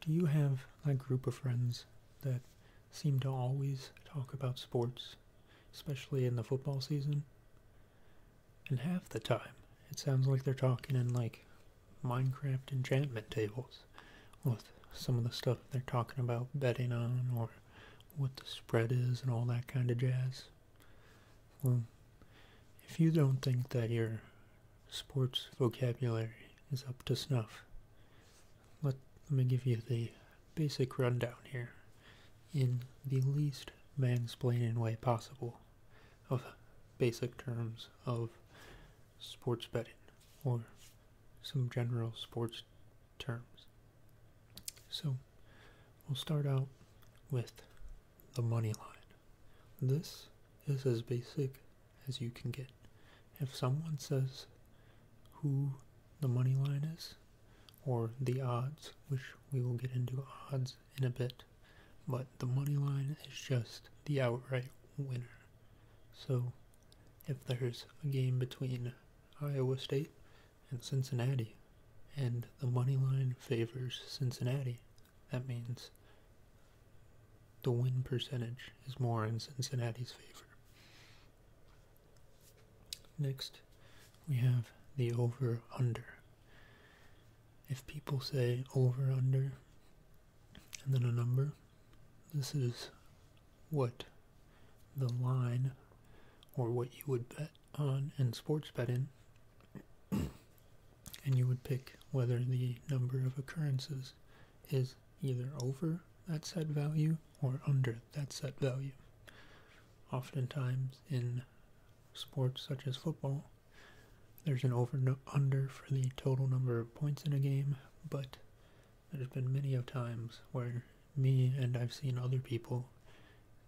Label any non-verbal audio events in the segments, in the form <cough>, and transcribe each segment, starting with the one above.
Do you have that group of friends that seem to always talk about sports, especially in the football season? And half the time, it sounds like they're talking in like Minecraft enchantment tables with some of the stuff they're talking about betting on or what the spread is and all that kind of jazz. Well, if you don't think that you're sports vocabulary is up to snuff. Let, me give you the basic rundown here in the least mansplaining way possible of basic terms of sports betting or some general sports terms. So we'll start out with the money line. This is as basic as you can get. If someone says who the money line is, or the odds, which we will get into odds in a bit, but the money line is just the outright winner. So if there's a game between Iowa State and Cincinnati, and the money line favors Cincinnati, that means the win percentage is more in Cincinnati's favor. Next, we have the over under. If people say over under and then a number, this is what the line or what you would bet on in sports betting and you would pick whether the number of occurrences is either over that set value or under that set value. Oftentimes in sports such as football, there's an over no under for the total number of points in a game, but there's been many of times where me and I've seen other people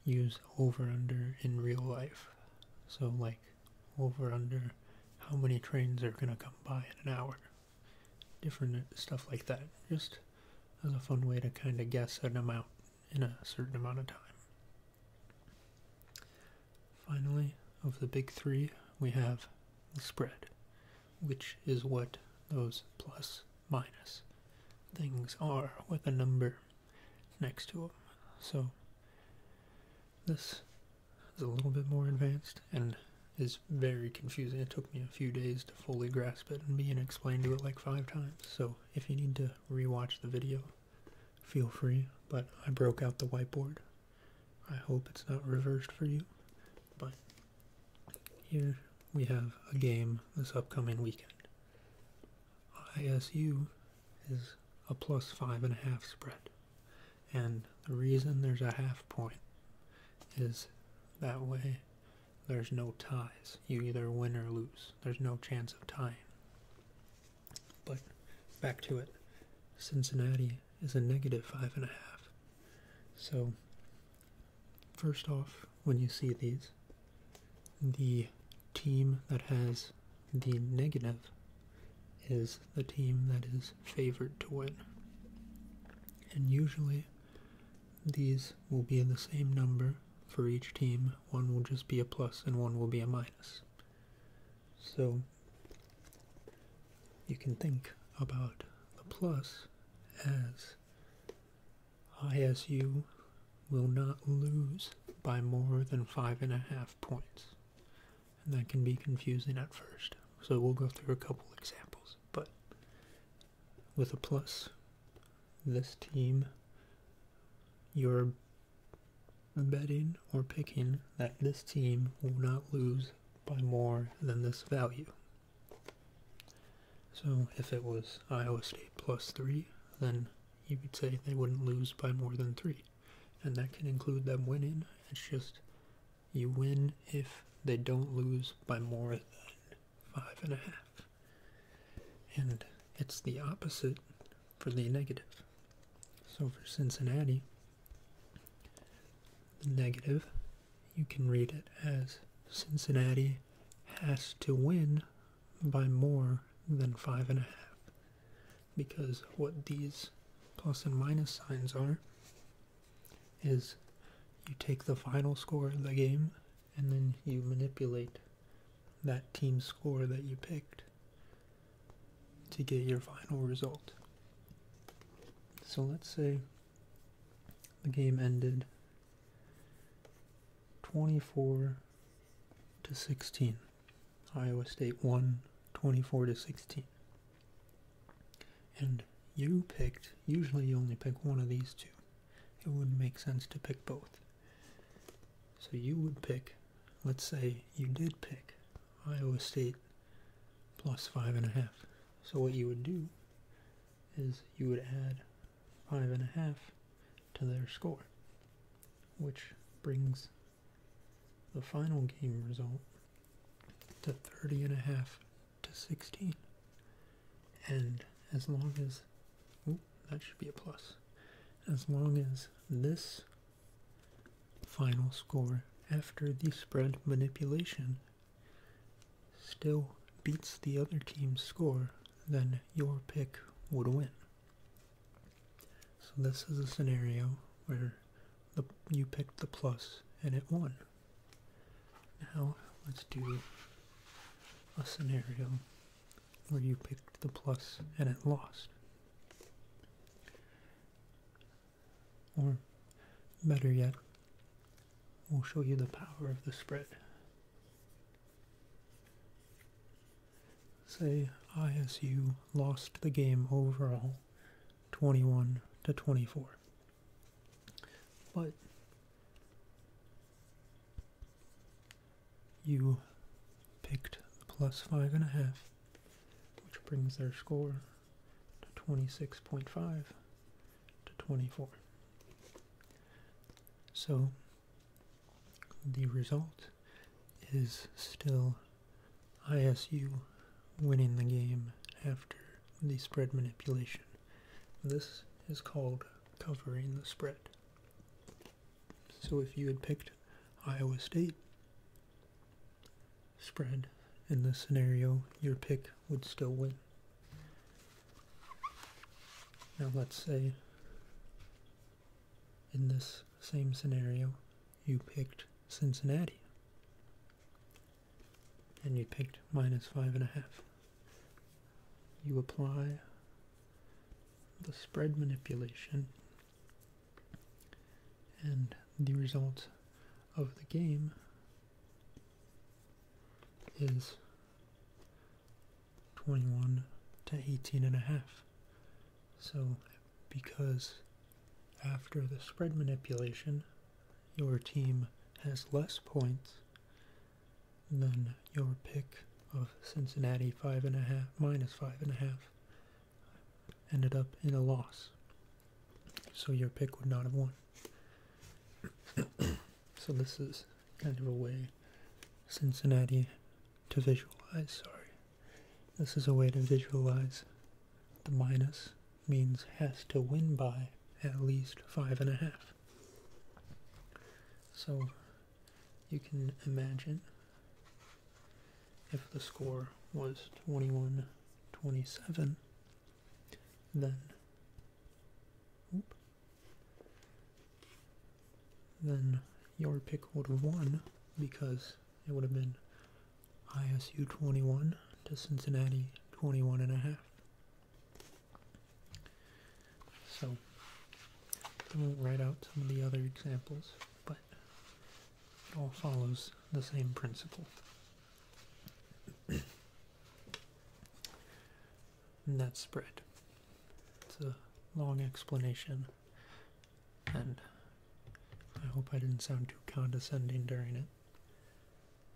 use over under in real life. So like over under how many trains are going to come by in an hour. Different uh, stuff like that. Just as a fun way to kind of guess an amount in a certain amount of time. Finally, of the big three, we have the spread, which is what those plus minus things are with a number next to them. So this is a little bit more advanced and is very confusing. It took me a few days to fully grasp it and being explained to it like five times. So if you need to rewatch the video, feel free. But I broke out the whiteboard. I hope it's not reversed for you. But here we have a game this upcoming weekend. ISU is a plus five and a half spread. And the reason there's a half point is that way there's no ties. You either win or lose. There's no chance of tying. But back to it. Cincinnati is a negative five and a half. So, first off, when you see these, the team that has the negative is the team that is favored to win. And usually these will be the same number for each team. One will just be a plus and one will be a minus. So you can think about the plus as ISU will not lose by more than five and a half points. And that can be confusing at first. So we'll go through a couple examples. But with a plus, this team, you're betting or picking that this team will not lose by more than this value. So if it was Iowa State plus 3, then you would say they wouldn't lose by more than three. And that can include them winning. It's just you win if they don't lose by more than five and a half. And it's the opposite for the negative. So for Cincinnati, the negative, you can read it as Cincinnati has to win by more than five and a half because what these plus and minus signs are is you take the final score of the game and then you manipulate that team score that you picked to get your final result. So let's say the game ended 24 to 16. Iowa State won 24 to 16. And you picked, usually you only pick one of these two. It wouldn't make sense to pick both. So you would pick, let's say you did pick Iowa State plus five and a half. So what you would do is you would add five and a half to their score, which brings the final game result to 30 and a half to 16. And as long as, that should be a plus. As long as this final score after the spread manipulation still beats the other team's score, then your pick would win. So this is a scenario where the, you picked the plus and it won. Now let's do a scenario where you picked the plus and it lost. Or better yet, We'll show you the power of the spread. Say ISU lost the game overall 21 to 24. But you picked the plus five and a half, which brings their score to 26.5, to 24. So the result is still ISU winning the game after the spread manipulation. This is called covering the spread. So if you had picked Iowa State spread in this scenario, your pick would still win. Now let's say in this same scenario you picked Cincinnati and you picked minus five and a half. You apply the spread manipulation and the result of the game is 21 to 18 and a half. So because after the spread manipulation, your team has less points than your pick of Cincinnati five and a half minus five and a half ended up in a loss. So your pick would not have won. <coughs> so this is kind of a way Cincinnati to visualize, sorry. This is a way to visualize the minus means has to win by at least five and a half. So you can imagine if the score was 21 27 then then your pick would have won because it would have been ISU 21 to Cincinnati 21 and a half. So I won't write out some of the other examples, but it all follows the same principle and that's spread. It's a long explanation, and I hope I didn't sound too condescending during it.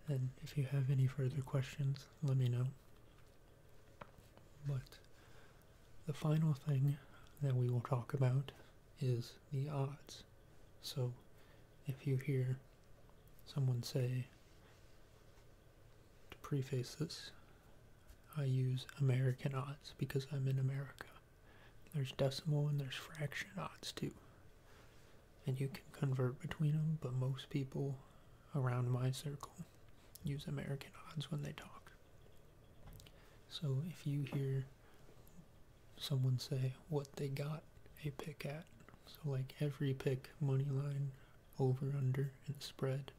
And if you have any further questions, let me know. But the final thing that we will talk about is the odds. So if you hear someone say, to preface this, I use American odds because I'm in America. There's decimal and there's fraction odds too. And you can convert between them, but most people around my circle use American odds when they talk. So if you hear someone say what they got a pick at. So like every pick, money line, over, under, and spread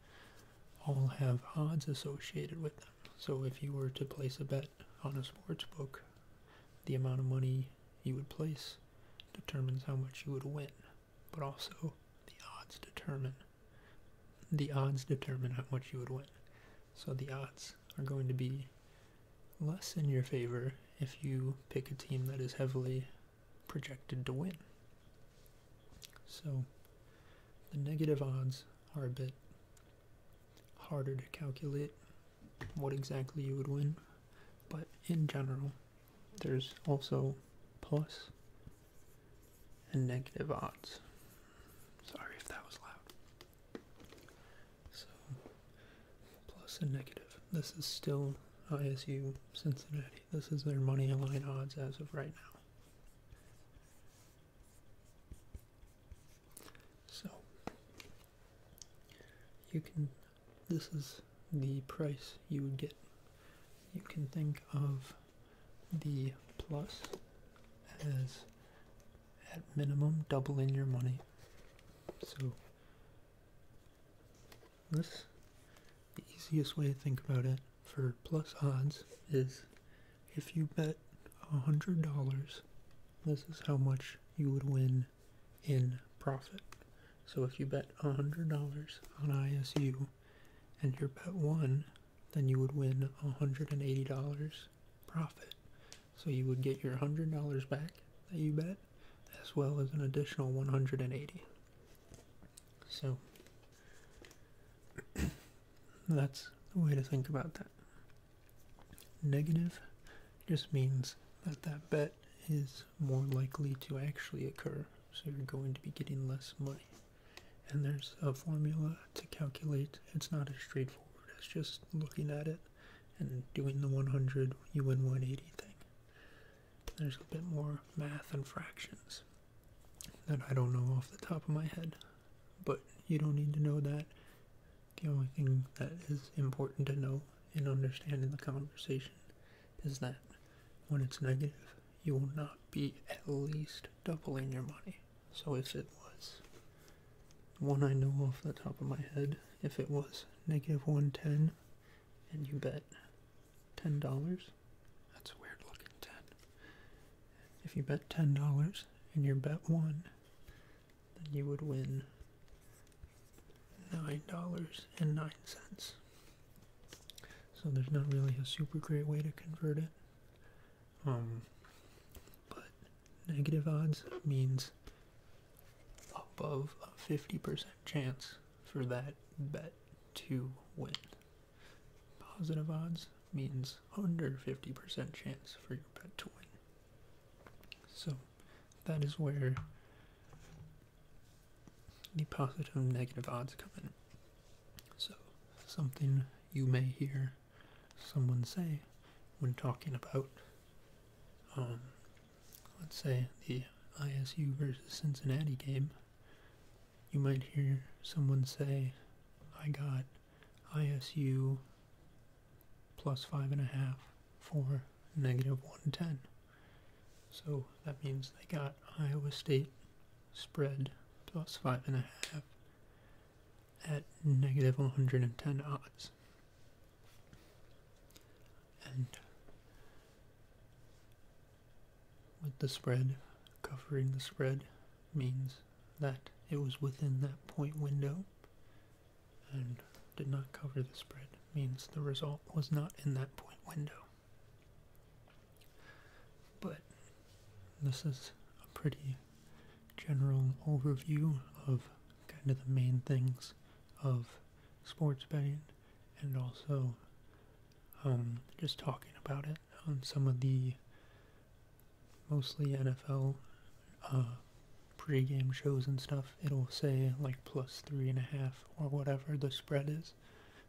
all have odds associated with them. So if you were to place a bet on a sports book, the amount of money you would place determines how much you would win, but also the odds determine the odds determine how much you would win. So the odds are going to be less in your favor if you pick a team that is heavily projected to win. So the negative odds are a bit harder to calculate what exactly you would win, but in general, there's also plus and negative odds. Sorry if that was loud. So and negative. This is still ISU Cincinnati. This is their money line odds as of right now. So you can this is the price you would get. You can think of the plus as at minimum doubling your money. So this the easiest way to think about it for plus odds is if you bet $100, this is how much you would win in profit. So if you bet $100 on ISU and your bet won, then you would win $180 profit. So you would get your $100 back that you bet, as well as an additional 180. dollars So <clears throat> that's the way to think about that. Negative just means that that bet is more likely to actually occur, so you're going to be getting less money and there's a formula to calculate. It's not as straightforward as just looking at it and doing the 100, you win 180 thing. There's a bit more math and fractions that I don't know off the top of my head, but you don't need to know that. The only thing that is important to know in understanding the conversation is that when it's negative, you will not be at least doubling your money. So if it was one I know off the top of my head, if it was negative 110, and you bet $10, that's a weird looking 10. If you bet $10 and you bet one, then you would win $9.09. So there's not really a super great way to convert it. Um, but negative odds means above a 50% chance for that bet to win. Positive odds means under 50% chance for your bet to win. So that is where the positive and negative odds come in. So something you may hear someone say when talking about, um, let's say, the ISU versus Cincinnati game. You might hear someone say, I got ISU plus 5.5 for negative 110. So that means they got Iowa State spread plus five and a half at negative 110 odds. And with the spread, covering the spread means that it was within that point window and did not cover the spread means the result was not in that point window. But this is a pretty general overview of kind of the main things of sports betting and also um, just talking about it on some of the mostly NFL uh, pregame shows and stuff. It'll say like plus three and a half or whatever the spread is.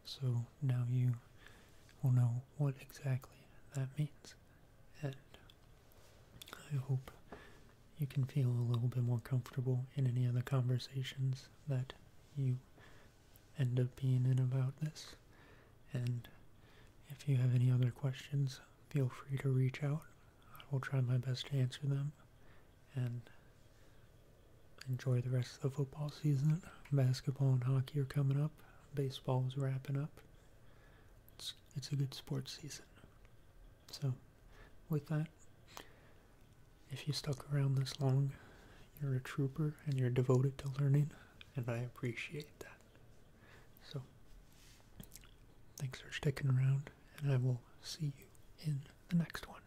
So now you will know what exactly that means. And I hope you can feel a little bit more comfortable in any of the conversations that you end up being in about this. And if you have any other questions, feel free to reach out. I will try my best to answer them. And enjoy the rest of the football season. Basketball and hockey are coming up. Baseball is wrapping up. It's, it's a good sports season. So, with that, if you stuck around this long, you're a trooper and you're devoted to learning, and I appreciate that. So, thanks for sticking around, and I will see you in the next one.